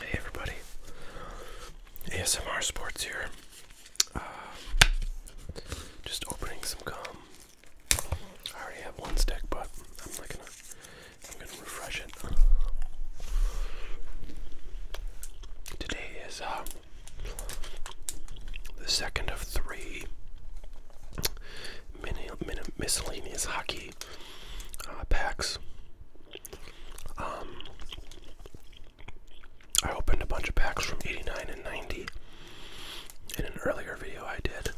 Hey everybody, ASMR Sports here. Um, just opening some gum. I already have one stick, but I'm not gonna. I'm gonna refresh it. Today is uh, the second of three mini, mini, miscellaneous hockey uh, packs. Um, I opened a bunch of packs from 89 and 90 in an earlier video I did.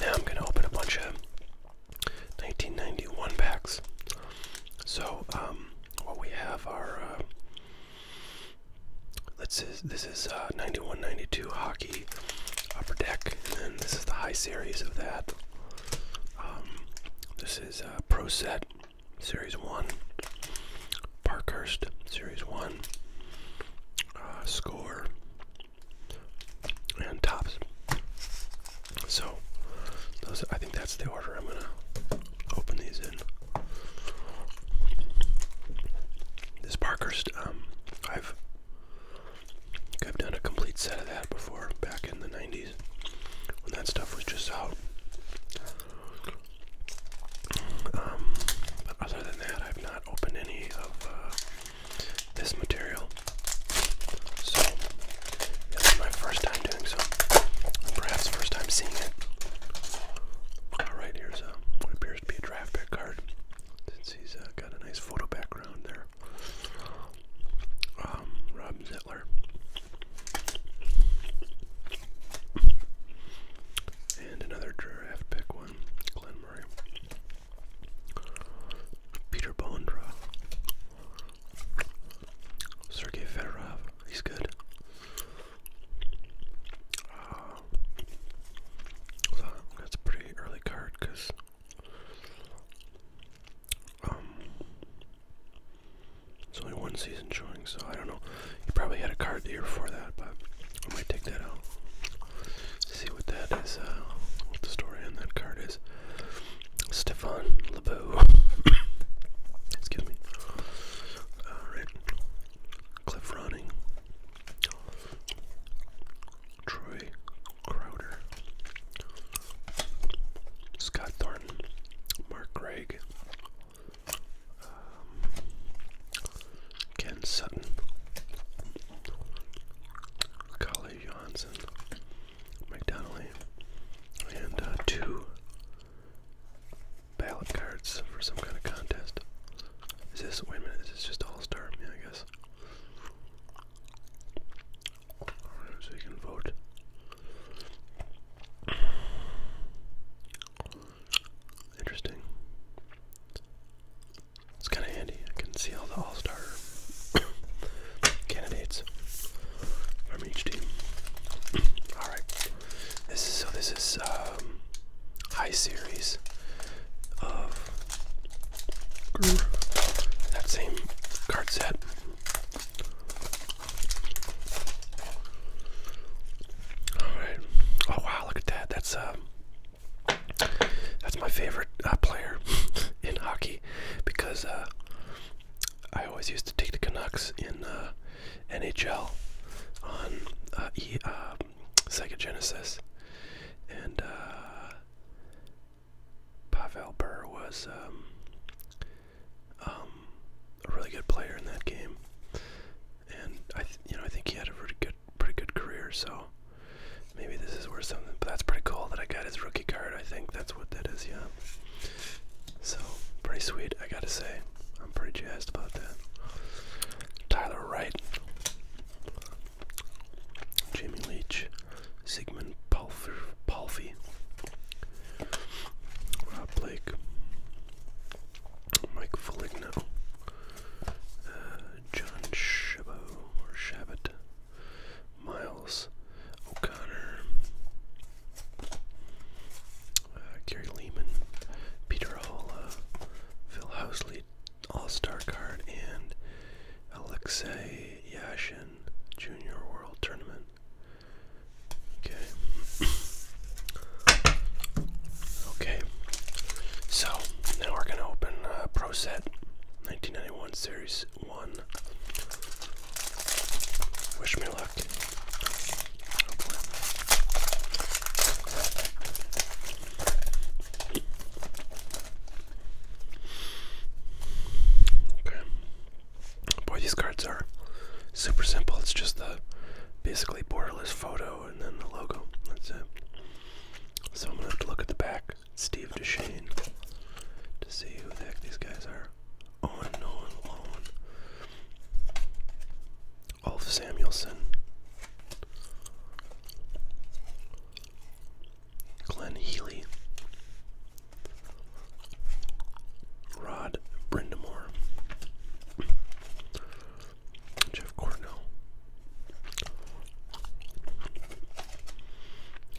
Now I'm going to open a bunch of 1991 packs. So, um, what we have are, uh, let's see, this is uh, 91 92 Hawk Upper Deck, and then this is the high series of that. Um, this is uh, Pro Set Series 1, Parkhurst Series 1, uh, Score, and Tops. So, I think that's the order I'm going to open these in. This Parkhurst, um, I've I've done a complete set of that before, back in the 90s, when that stuff was just out. Um, but other than that, I've not opened any of uh, this material. So, this is my first time doing so. Perhaps first time seeing it. Alright, here's what appears to be a draft pick card. Since he's uh, got a nice photo background there. Um, Rob Zettler. And another draft pick one, Glenn Murray. Peter Bondra. Sergei Fedorov, he's good. Uh, that's a pretty early card because um, it's only one season showing, so I don't know. You probably had a card here year before that, but I might take that out. See what that is, uh, what the story on that card is. Stefan LeBeau. Excuse me. Alright. Uh, Cliff Ronning. Troy Crowder, Scott Thornton, Mark Craig, um, Ken Sutton, Kali Johnson, McDonnelly, and uh, two ballot cards for some kind of contest. Is this, wait a minute, is this just All-Star? Yeah, I guess. so you can vote. Interesting. It's kind of handy. I can see all the all-star candidates from each team. All right. This is, so this is um, high series of that same card set. All right. Oh wow! Look at that. That's uh, that's my favorite uh, player in hockey because uh, I always used to take the Canucks in. Uh, NHL on uh, e, uh, Sega Genesis, and uh, Pavel Burr was um, um, a really good player in that game, and I, you know, I think he had a pretty good, pretty good career. So maybe this is worth something. But that's pretty cool that I got his rookie card. I think that's what that is. Yeah. So, pretty sweet, I gotta say. I'm pretty jazzed about that. Tyler Wright, Jamie Leach, Sigmund Palfer, Palfy, Rob Blake, Mike Foligno, uh, John Shabot, Miles O'Connor, uh, Gary Lehman, Peter Holla, Phil Housley, All Star card, and Alexey Yashin, Junior World Tournament. Okay. Okay. So now we're gonna open uh, Pro Set 1991 Series One. Wish me luck. Okay. Boy, these cards are super simple. It's just the basically borderless photo and then the logo. That's it. So I'm gonna have to look at the back. Steve Deshane to see who the heck these guys are. Owen oh, Nolan Loan. Samuelson. Glenn Healy. Rod Brendamore, Jeff Cornell.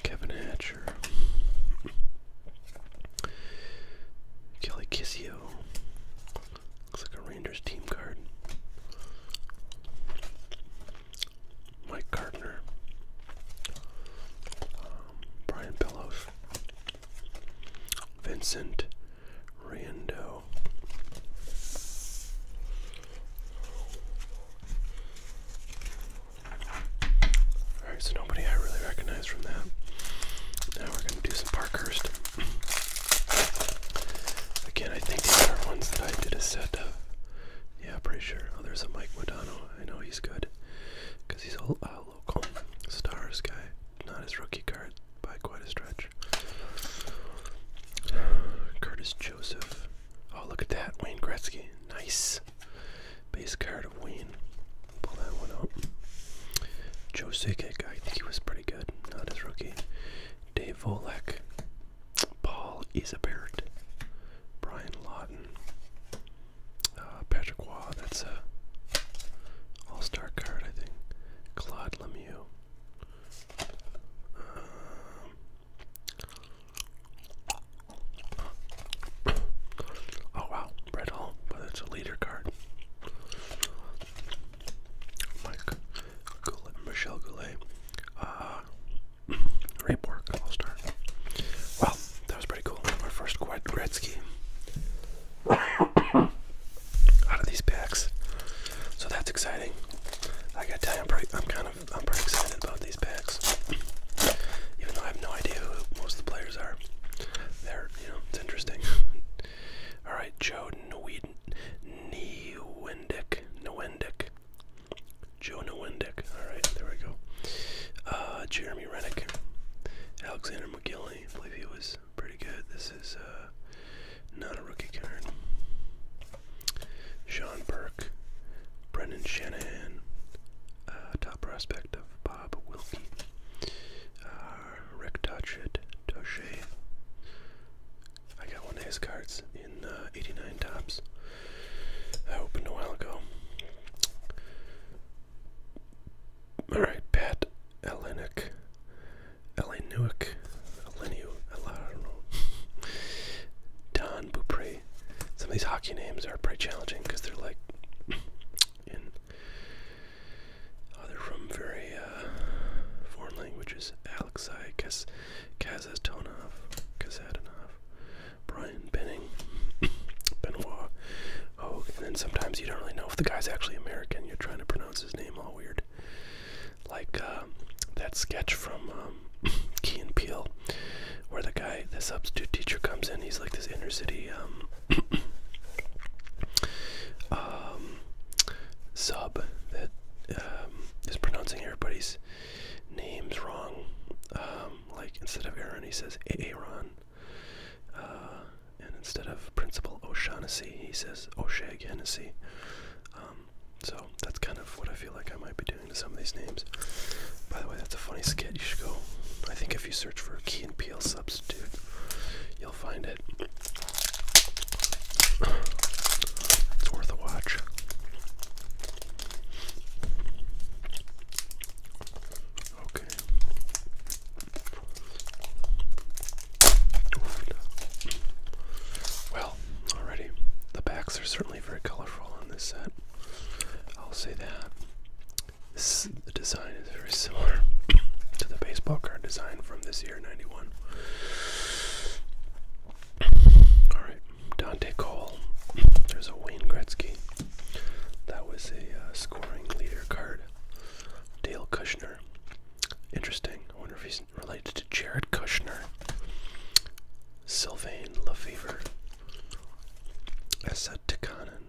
Kevin Hatch. Kelly Kissio. Looks like a Rangers team card. Mike Gardner. Um, Brian Bellows. Vincent Rando. Alright, so nobody I really recognize from that. Now we're going to do some Parkhurst. Again, I think these are ones that I did a set of. Yeah, pretty sure. Oh, there's a Mike Modano. I know he's good because he's all uh, local stars guy. Not his rookie card by quite a stretch. Curtis Joseph. Oh, look at that. Wayne Gretzky. Nice base card of Wayne. Pull that one out. Joe Sikic, I think he was pretty good, not his rookie. Dave Volek, Paul Isabert, Brian Lawton, uh, Patrick Waugh, that's a all-star card I think. Claude Lemieux. Um, Oh wow, Brett but it's a leader card. Mike Michelle Goulet, Ray Bork, All Well, that was pretty cool. Our first quad Gretzky out of these packs, so that's exciting. I gotta tell you, I'm kind of I'm pretty excited about these packs, even though I have no idea who most of the players are. They're, you know, it's interesting. All right, Joe Nwendick, Nwendick, Joe Nwendick. All right, there we go. Uh, Jeremy Rennick, Alexander McGillney. I believe he was pretty good. This is uh, not a rookie card. Sean Burke, Brendan Shanahan, uh, top prospect of Bob Wilkie, uh, Rick Touchett, Touche. I got one of his cards in uh, 89 Tops. I opened a while ago. Alright, Pat Elenick. Eleniuk. Eleniu. I don't know. Don some of these hockey names are pretty challenging because they're like oh, they're from very uh, foreign languages. Alexei Kaz Kazatonov, Kazatonov, Brian Benning, Benoit Hogue, and then sometimes you don't really know if the guy's actually American. You're trying to pronounce his name all weird like uh, that sketch from um, Key and Peele, where the guy, the substitute teacher, comes in. He's like this inner city um, um, sub that um, is pronouncing everybody's names wrong. like instead of Aaron, he says Aaron. Uh, and instead of Principal O'Shaughnessy, he says O'Shag so that's kind of what I feel like I might be doing to some of these names. By the way, that's a funny skit. You should go. I think if you search for Key and Peel substitute, you'll find it. It's worth a watch. Okay. Well, already the backs are certainly very colorful on this set. I'll say that. the design is very similar to the baseball card design from this year, 91. Alright, Dante Cole. There's a Wayne Gretzky. That was a uh, scoring leader card. Dale Kushner. Interesting. I wonder if he's related to Jared Kushner, Sylvain Lefevre, Esad Tikanen.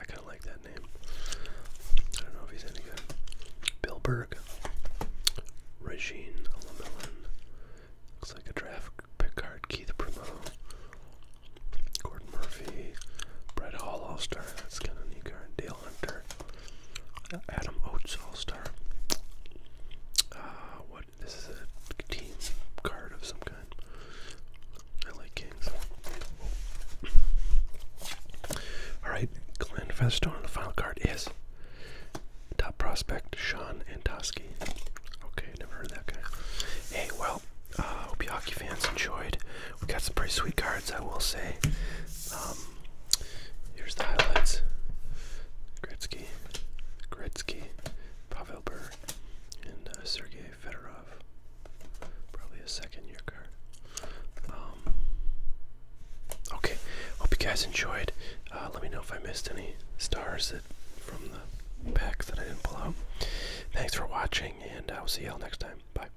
I kind of like that name. I don't know if he's any good. Bill Burke, Regine Lemelin. Looks like a draft Picard, Keith Primo, Gordon Murphy, Brett Hall All-Star. That's kind of a neat card. deal. Adam Oates All Star. Uh, what? This is a team card of some kind. I like Kings. Alright, Glenn Featherstone. the final card is top prospect Sean Antoski. Okay, never heard that guy. Hey, well, uh, hope you hockey fans enjoyed we got some pretty sweet cards, I will say. Um, here's the highlights: Gretzky, Gretzky, Pavel Burr, and uh, Sergei Fedorov. Probably a second-year card. Um, okay, hope you guys enjoyed. Uh, let me know if I missed any stars that from the packs that I didn't pull out. Thanks for watching, and I'll see y'all next time. Bye.